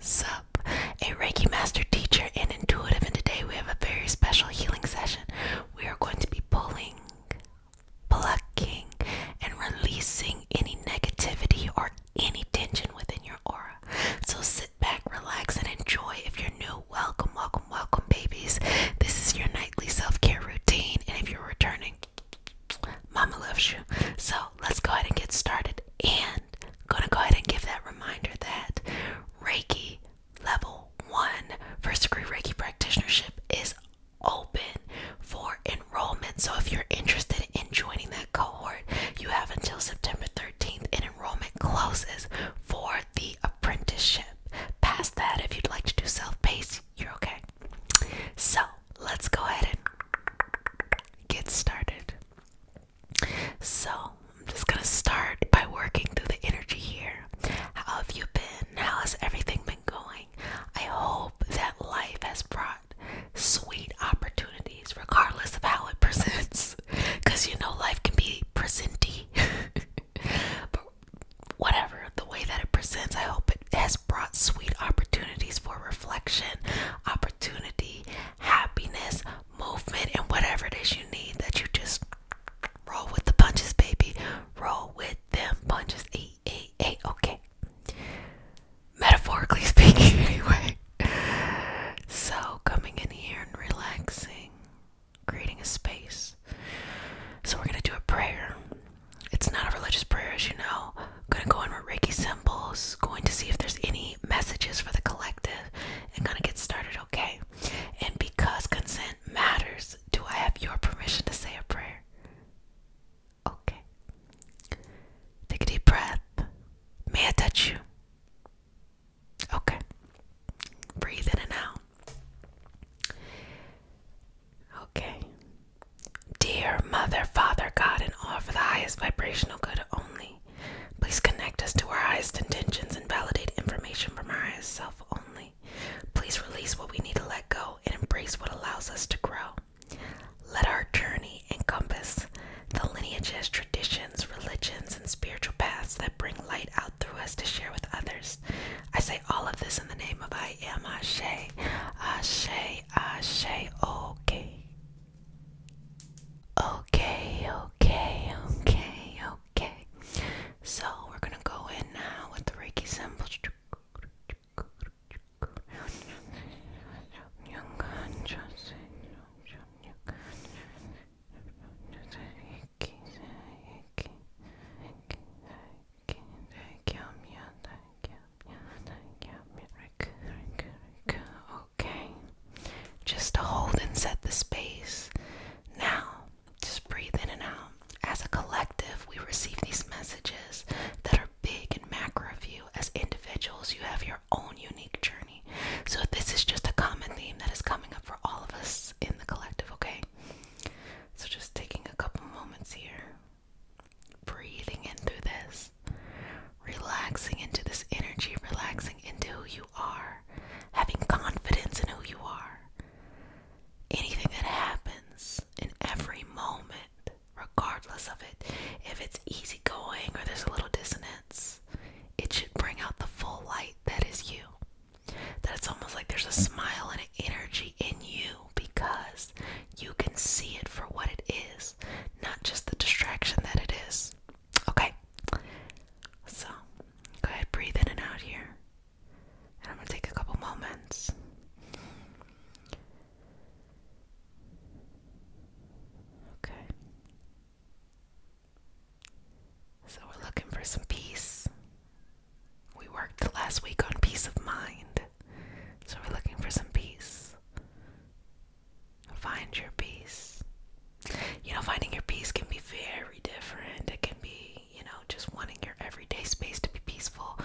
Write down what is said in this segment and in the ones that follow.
Sup, a Reiki Master Teacher and Intuitive, and today we have a very special healing session. We are going to be pulling, plucking, and releasing any negativity or any tension within your aura. So sit back, relax, and enjoy. If you're new, welcome, welcome, welcome, babies. This is your nightly self care routine, and if you're returning, Mama loves you. So let's go ahead and get started. And I'm gonna go ahead and give that reminder that Reiki level one first degree Reiki practitionership is open for enrollment. So if you're interested in joining that cohort, you have until September 13th in enrollment closes for the apprenticeship. Past that, if you'd like to do self-paced, you're okay. So let's go ahead and get started. So, I'm just gonna start by working through the energy here. How have you been? How has everything been going? I hope that life has brought sweet opportunities, regardless of how it presents. Because you know, life can be presenty. but whatever, the way that it presents, I hope it has brought sweet opportunities for reflection, Opportunity happiness, movement, and whatever it is you need that you just roll with the punches, baby. Roll with them punches. Hey, hey, hey, okay. Metaphorically speaking, anyway. So, coming in here and relaxing, creating a space. So, we're going to do a prayer. It's not a religious prayer, as you know, gonna go in with Reiki symbols, going to see if there's any messages for the collective, and gonna get started, okay? And because consent matters, do I have your permission to say a prayer? Okay. Take a deep breath. May I touch you? Okay. Breathe in and out. Okay. Dear Mother, Father, God, in all for the highest vibrational good only, please connect us to our highest intentions and validate information from our highest self only. Please release what we need to let go and embrace what allows us to grow. Let our journey encompass the lineages, traditions, religions, and spiritual paths that bring light out through us to share with others. I say all of this in the name of I am Ashe, Ashe, Ashe, okay. Okay, okay, okay, okay. So we're gonna go in now with the Reiki symbols. Okay. Just to hold and set the space. Now, just breathe in and out. As a collective, we receive these messages that are big and macro of you. As individuals, you have your own unique journey. So, this is just a common theme that is coming up for all of us in the collective, okay? So, just taking a couple moments here breathing in through this, relaxing into this energy, relaxing into who you are, having confidence in who you are. Anything that happens in every moment, regardless of it, if it's easygoing or there's a little dissonance, it should bring out the full light that is you. That it's almost like there's a smile and an energy in you because you can see it for what it is, not just the distraction that it is. Okay? So, go ahead, breathe in and out here. And I'm going to take a couple moments. Okay. So, we're looking for some peace. We worked last week on peace of mind. So we're looking for some peace. Find your peace. You know, finding your peace can be very different. It can be, you know, just wanting your everyday space to be peaceful,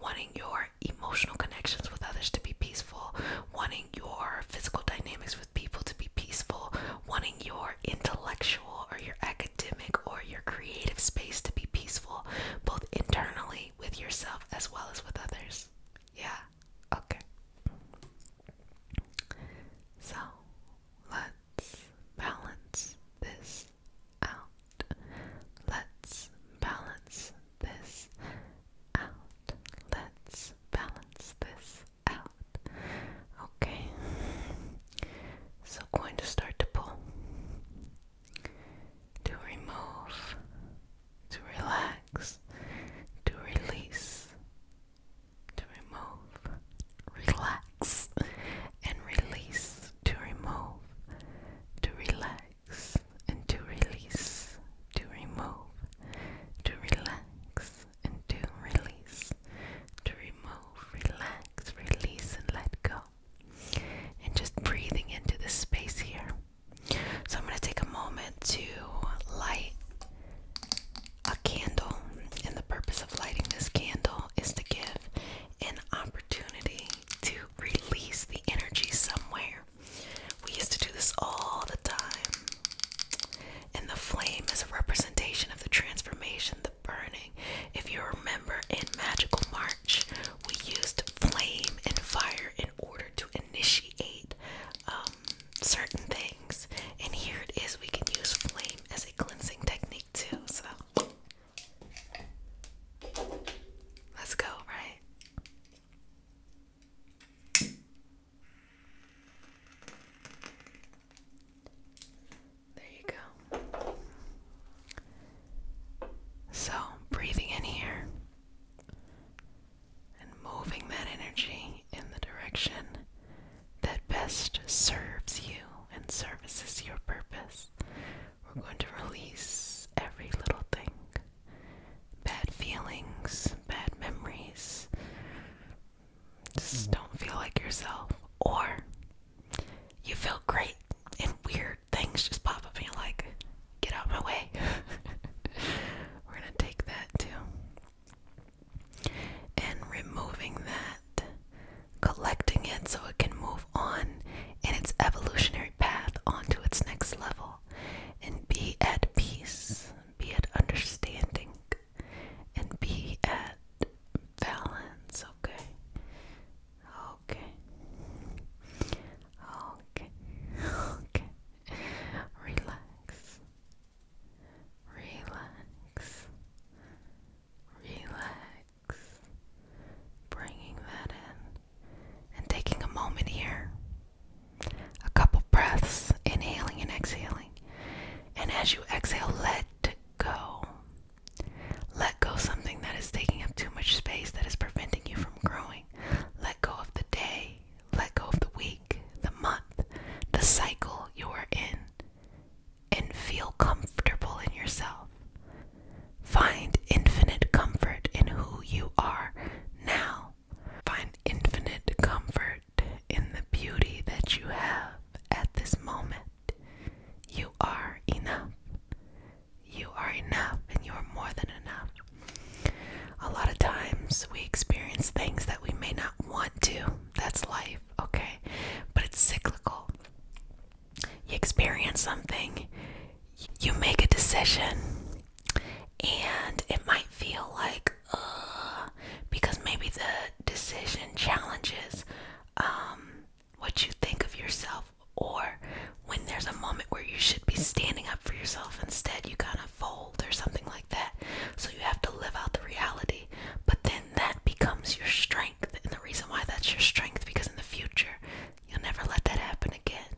wanting your emotional connections with others to be peaceful, wanting your physical dynamics with people to be peaceful, wanting your intellectual or your academic or your creative space to be peaceful, both internally with yourself as well as with others. Yeah, okay. So let's balance this out. Let's balance this out. Let's balance this out. Okay. So, going to start to pull to remove, to relax, to release, to remove, relax, and release, to remove, to relax, and to release, to remove, to relax, and to release, to remove, relax, release, and let go and just breathing into this space here. So I'm going to take a moment to light a candle, and the purpose of lighting this candle is to give an opportunity to release the energy somewhere. We used to do this all the time. And the flame is a representation of the transformation, the burning. If you remember in Magical March, we used flame and fire in order to initiate um, certain things. And here it is, we can use flame as a cleansing technique too. So let's go, right? There you go. So, breathing in here and moving that energy in the direction that best serves you and services your purpose. We're going to release every little thing bad feelings, bad memories. Just hmm. don't feel like yourself, or you feel great and weird things just pop up and you're like, get out of my way. We're gonna take that too. And removing that, collecting it so it can move on in its evolutionary path onto its next level and be at peace, be at understanding, and be at balance, okay? Okay. Okay. Okay. Relax. Relax. Relax. Bringing that in and taking a moment here. A couple breaths, inhaling and exhaling. And as you exhale, let go. Let go something that is taking up too much space that is preventing you from growing. Let go of the day, let go of the week, the month, the cycle you are in, and feel comfortable in yourself. Find infinite comfort in who you are now. Find infinite comfort in the beauty that you have at this moment. You are enough. You are enough and you are more than enough. A lot of times we experience things that we may not want to. That's life, okay? But it's cyclical. You experience something, you make a decision, and it might feel like, uh, because maybe the decision challenges um, what you think of yourself, or when there's a moment where you should be standing up for yourself, instead you kind of fold or something like that. So you have to live out the reality, but then that becomes your strength. And the reason why that's your strength because in the future you'll never let that happen again.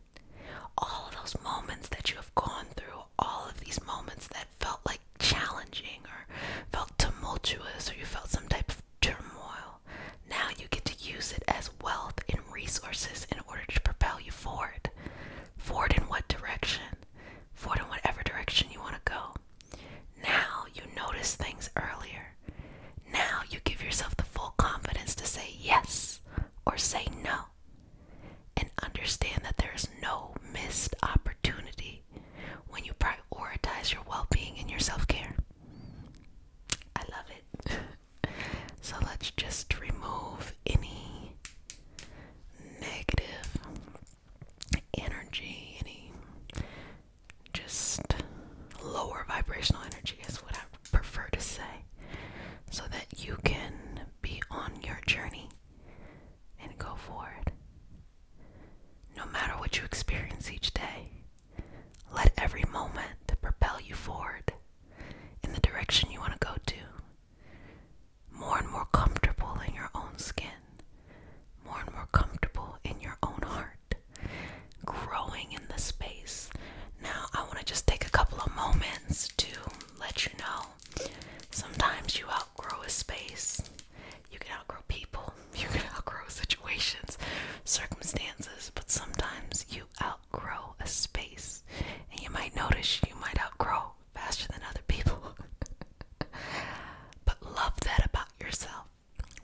All of those moments that you have gone through, all of these moments that felt like challenging or felt tumultuous, or you felt some type of turmoil. Now you get to use it as wealth and resources in order to propel you forward. Forward in what direction? Forward in whatever direction you want to go. Now you notice things earlier. Now you give yourself the full confidence to say yes or say no. And understand that there is no missed opportunity when you prioritize your well being and your self care. I love it. so let's just remove any negative energy, any just lower vibrational energy is what I prefer to say, so that you can be on your journey and go forward. No matter what you experience each day, let every moment propel you forward in the direction you want to go to. More and more comfortable in your own skin, more and more comfortable in your own heart, growing in the space. Now, I want to just take a couple of moments to let you know sometimes you outgrow a space. You can outgrow people, you can outgrow situations, circumstances, but sometimes you outgrow a space. And you might notice you might outgrow faster than other people. but love that about yourself.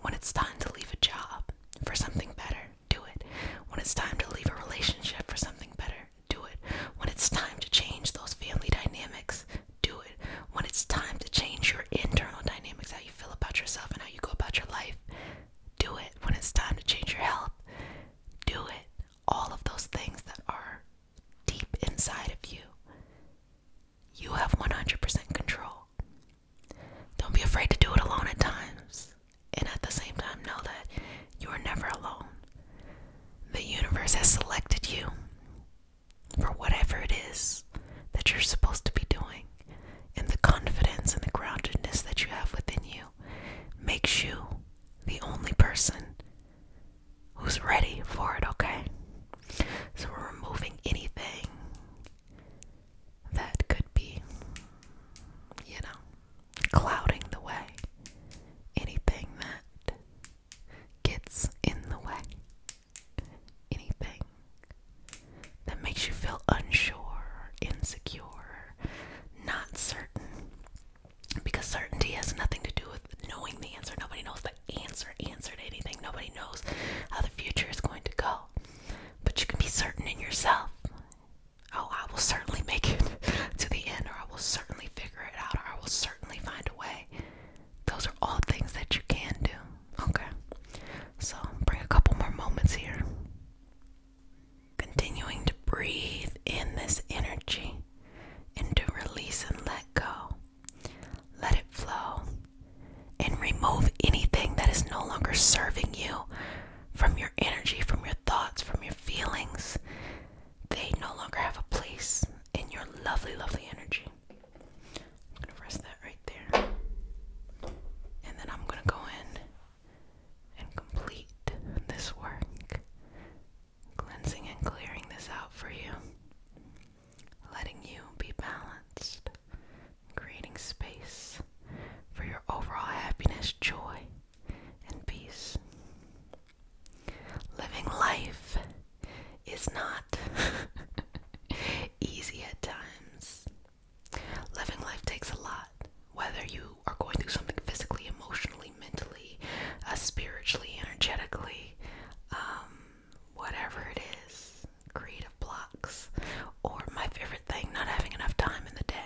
When it's time to leave a job for something better, do it. When it's time to leave a relationship for something better, do it. When it's time to change those family dynamics, do it when it's time to change your internal dynamics, how you feel about yourself and how you go about your life. Do it when it's time to change your health. Do it. All of those things that are deep inside of you. You have 100% control. Don't be afraid to do it alone at times. And at the same time, know that you are never alone. The universe has selected you for whatever it is that you're supposed to be doing and the confidence and the groundedness that you have within you makes you the only person who's ready for it, okay? So we're removing anything that could be, you know, clouding the way. Anything that gets in the way anything that makes you feel unsure, insecure, not certain. Because certainty has nothing to do with knowing the answer. Nobody knows the answer, answer anything. Nobody knows how the future is going to go. But you can be certain in yourself. Oh, I will certainly make it to the end, or I will certainly figure it out, or I will certainly find a way. Those are all things that you can do. Okay. So bring a couple more moments here. Continuing to breathe in this energy and to release and let go. Let it flow and remove anything that is no longer serving you from your energy, from your thoughts, from your feelings. They no longer have a place in your lovely, lovely energy. I'm gonna rest that right there. And then I'm gonna go in and complete this work. Cleansing and clearing this out for you. Letting you be balanced. Creating space for your overall happiness, joy, and peace. Living life is not easy at times. Living life takes a lot, whether you are going through something physically, emotionally, mentally, uh, spiritually, energetically, um, whatever it is, creative blocks, or my favorite thing, not having enough time in the day.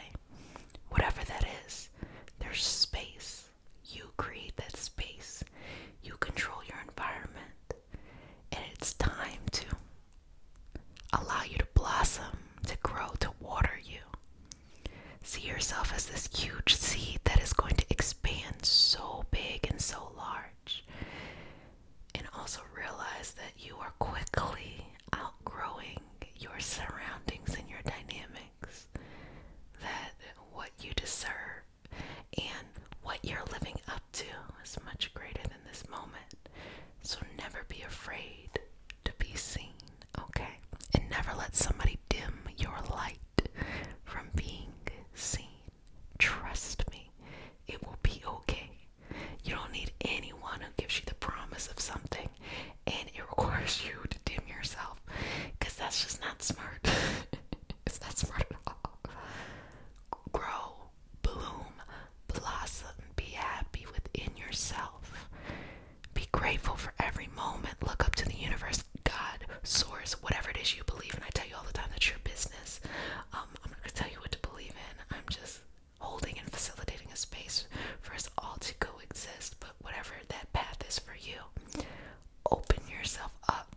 Whatever that is, there's space. You create that space. You control your environment. And it's time to allow you to blossom, to grow, to water you. See yourself as this huge seed that is going to expand so big and so large. And also realize that you are quickly outgrowing your surroundings and your dynamics. That what you deserve and what you're living up to is much greater than this moment. So never be afraid to be seen, okay? And never let somebody dim your light from being seen. Trust me, it will be okay. You don't need anyone who gives you the promise of something and it requires you to dim yourself because that's just not smart. it's not smart at all grow, bloom, blossom, be happy within yourself. Be grateful for every moment. Look up to the universe, God, source, whatever it is you believe in. I tell you all the time that's your business. Um, I'm not gonna tell you what to believe in. I'm just holding and facilitating a space for us all to coexist, but whatever that path is for you, open yourself up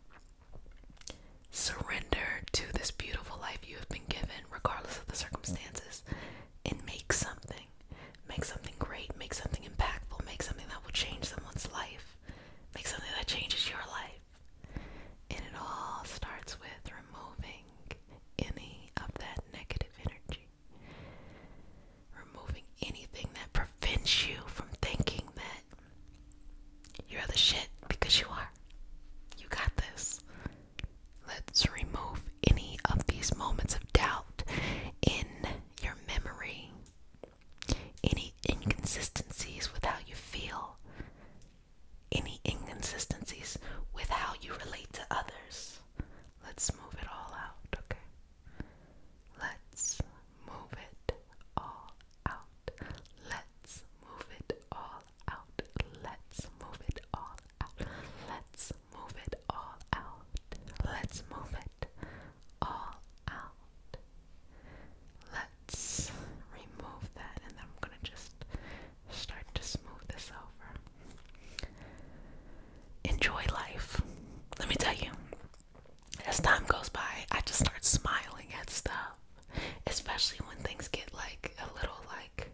Surrender to this beautiful life you have been given, regardless of the circumstances, and make something. Make something great, make something impactful, make something that will change someone's life, make something that changes your life. And it all starts with removing any of that negative energy. Removing anything that prevents you from thinking that you're the shit because you are. You got this. Let's remove any of these moments of doubt in your memory, any inconsistencies with how you feel, any inconsistencies with how you relate to others. Let's move it all out, okay? Let's move it all out. Let's move it all out. Let's move it all out. Let's move it all out. Let's move it all out. Let's remove that and then I'm going to just start to smooth this over. Enjoy life. Let me tell you, as time goes by, I just start smiling at stuff, especially when things get like a little like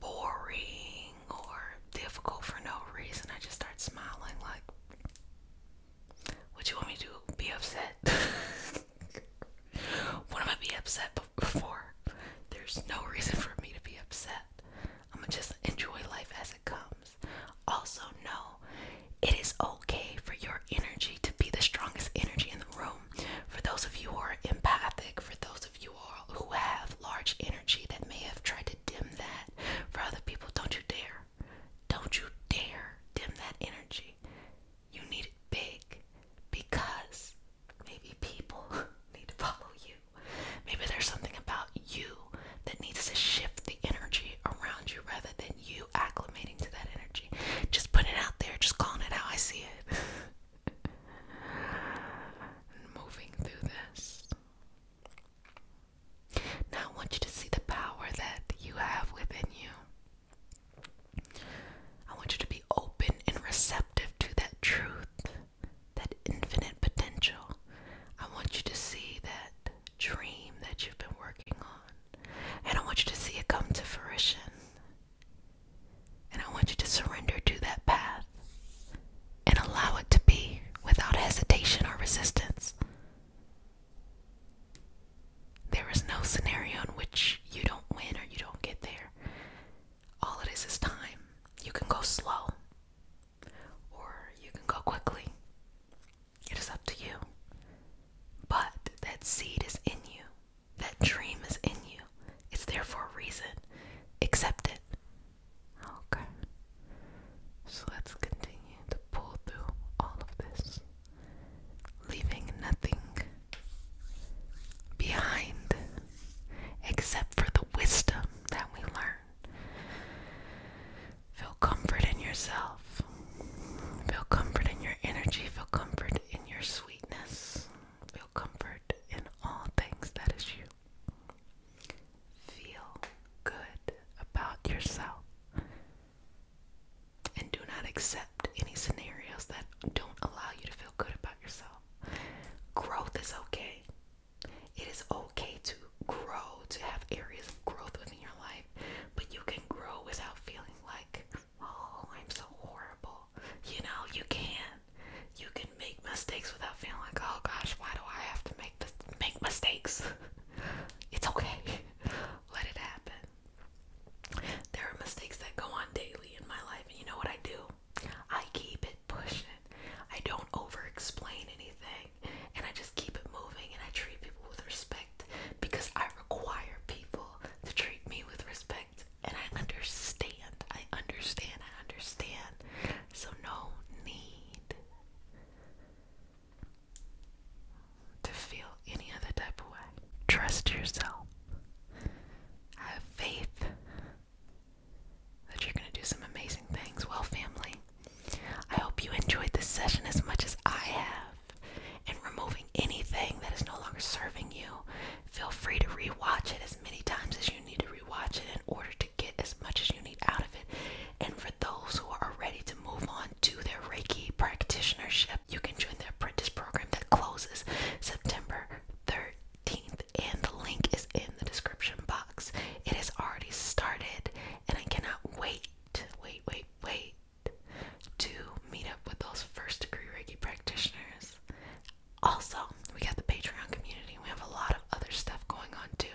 boring or difficult for no reason. I just start smiling, like, what you want me to be upset? what am I be upset before? There's no reason for me to be upset. I'm gonna just enjoy life as it comes. Also, know it is okay for your energy to be the strongest energy in the room. For those of you who are empathic, for those of you who have large energy that may have tried to dim that for other people, don't you dare. Don't you dare dim that energy. You need it big because maybe people need to follow you. Maybe there's something about you that needs to shift the energy around you rather than you acclimating to that energy. Just putting it out there, just calling it how I see it. Moving through this. Now I want you to see the power that you have within you. I want you to be open and receptive to that truth, that infinite potential. I want you to see that dream that you've been working on. And I want you to see it come to fruition. And I want you to surrender to that path and allow it to be without hesitation or resistance. There is no scenario in which you don't win or you don't get there. All it is is time. You can go slow or you can go quickly. It is up to you. But that seed is in you, that dream is in you. It's there for a reason. Accept it. Okay. So let's continue to pull through all of this, leaving nothing behind except for the wisdom that we learn Feel comfort in yourself. Feel comfort in your energy. Feel comfort in your sweetness. Feel comfort in all things that is you. Feel good about yourself. And do not accept any scenarios that don't allow you to feel good about yourself. Growth is okay. It is okay to grow, to have areas of growth within your life, but you can grow without feeling like, oh, I'm so horrible. You know, you can. You can make mistakes without feeling like, oh gosh, why do I have to make this, make mistakes? it's okay. Let it happen. There are mistakes that go on daily in my life, and you know what I do? I keep it pushing. I don't over explain anything and I just keep it moving and I treat people with respect because I require people to treat me with respect and I understand. I understand. I understand. So no need to feel any other type of way. Trust yourself. Have faith that you're going to do some amazing things. Well, family, I hope you enjoyed this session as much as I have. And removing anything that is no longer serving you, feel free to rewatch it as many times as you need to rewatch it in order to get as much as you need out of it. And for those who are ready to move on to their Reiki practitionership, you can join the apprentice program that closes September 13th. And the link is in the description box. It has already started, and I cannot wait, wait, wait, wait to meet up with those first degree reggie practitioners. Also, we got the Patreon community, we have a lot of other stuff going on too.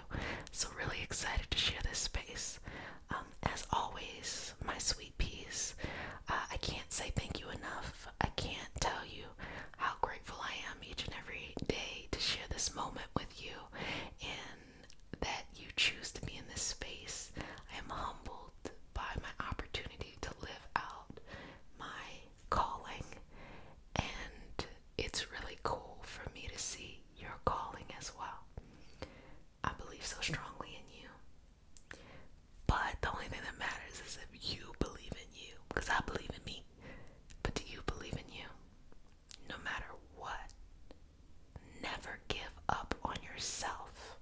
So, really excited to share this space. Um, as always, my sweet peas, uh, I can't say thank you enough. I can't tell you how grateful I am each and every day to share this moment with you and that you choose to be in this space. I am humbled by my opportunity to live out my calling, and it's really cool for me to see your calling as well. I believe so strongly in you. But the only thing that matters is if you believe in you, because I believe in me. But do you believe in you? no matter what. Never give up on yourself.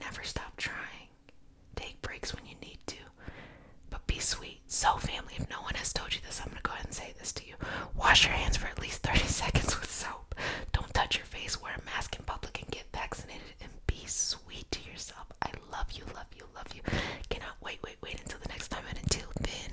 Never stop trying. Take breaks when you need to. But be sweet. So, family, if no one has told you this, I'm going to go ahead and say this to you. Wash your hands for at least 30 seconds with soap. Don't touch your face. Wear a mask in public and get vaccinated. And be sweet to yourself. I love you, love you, love you. Cannot wait, wait, wait until the next time. And until then.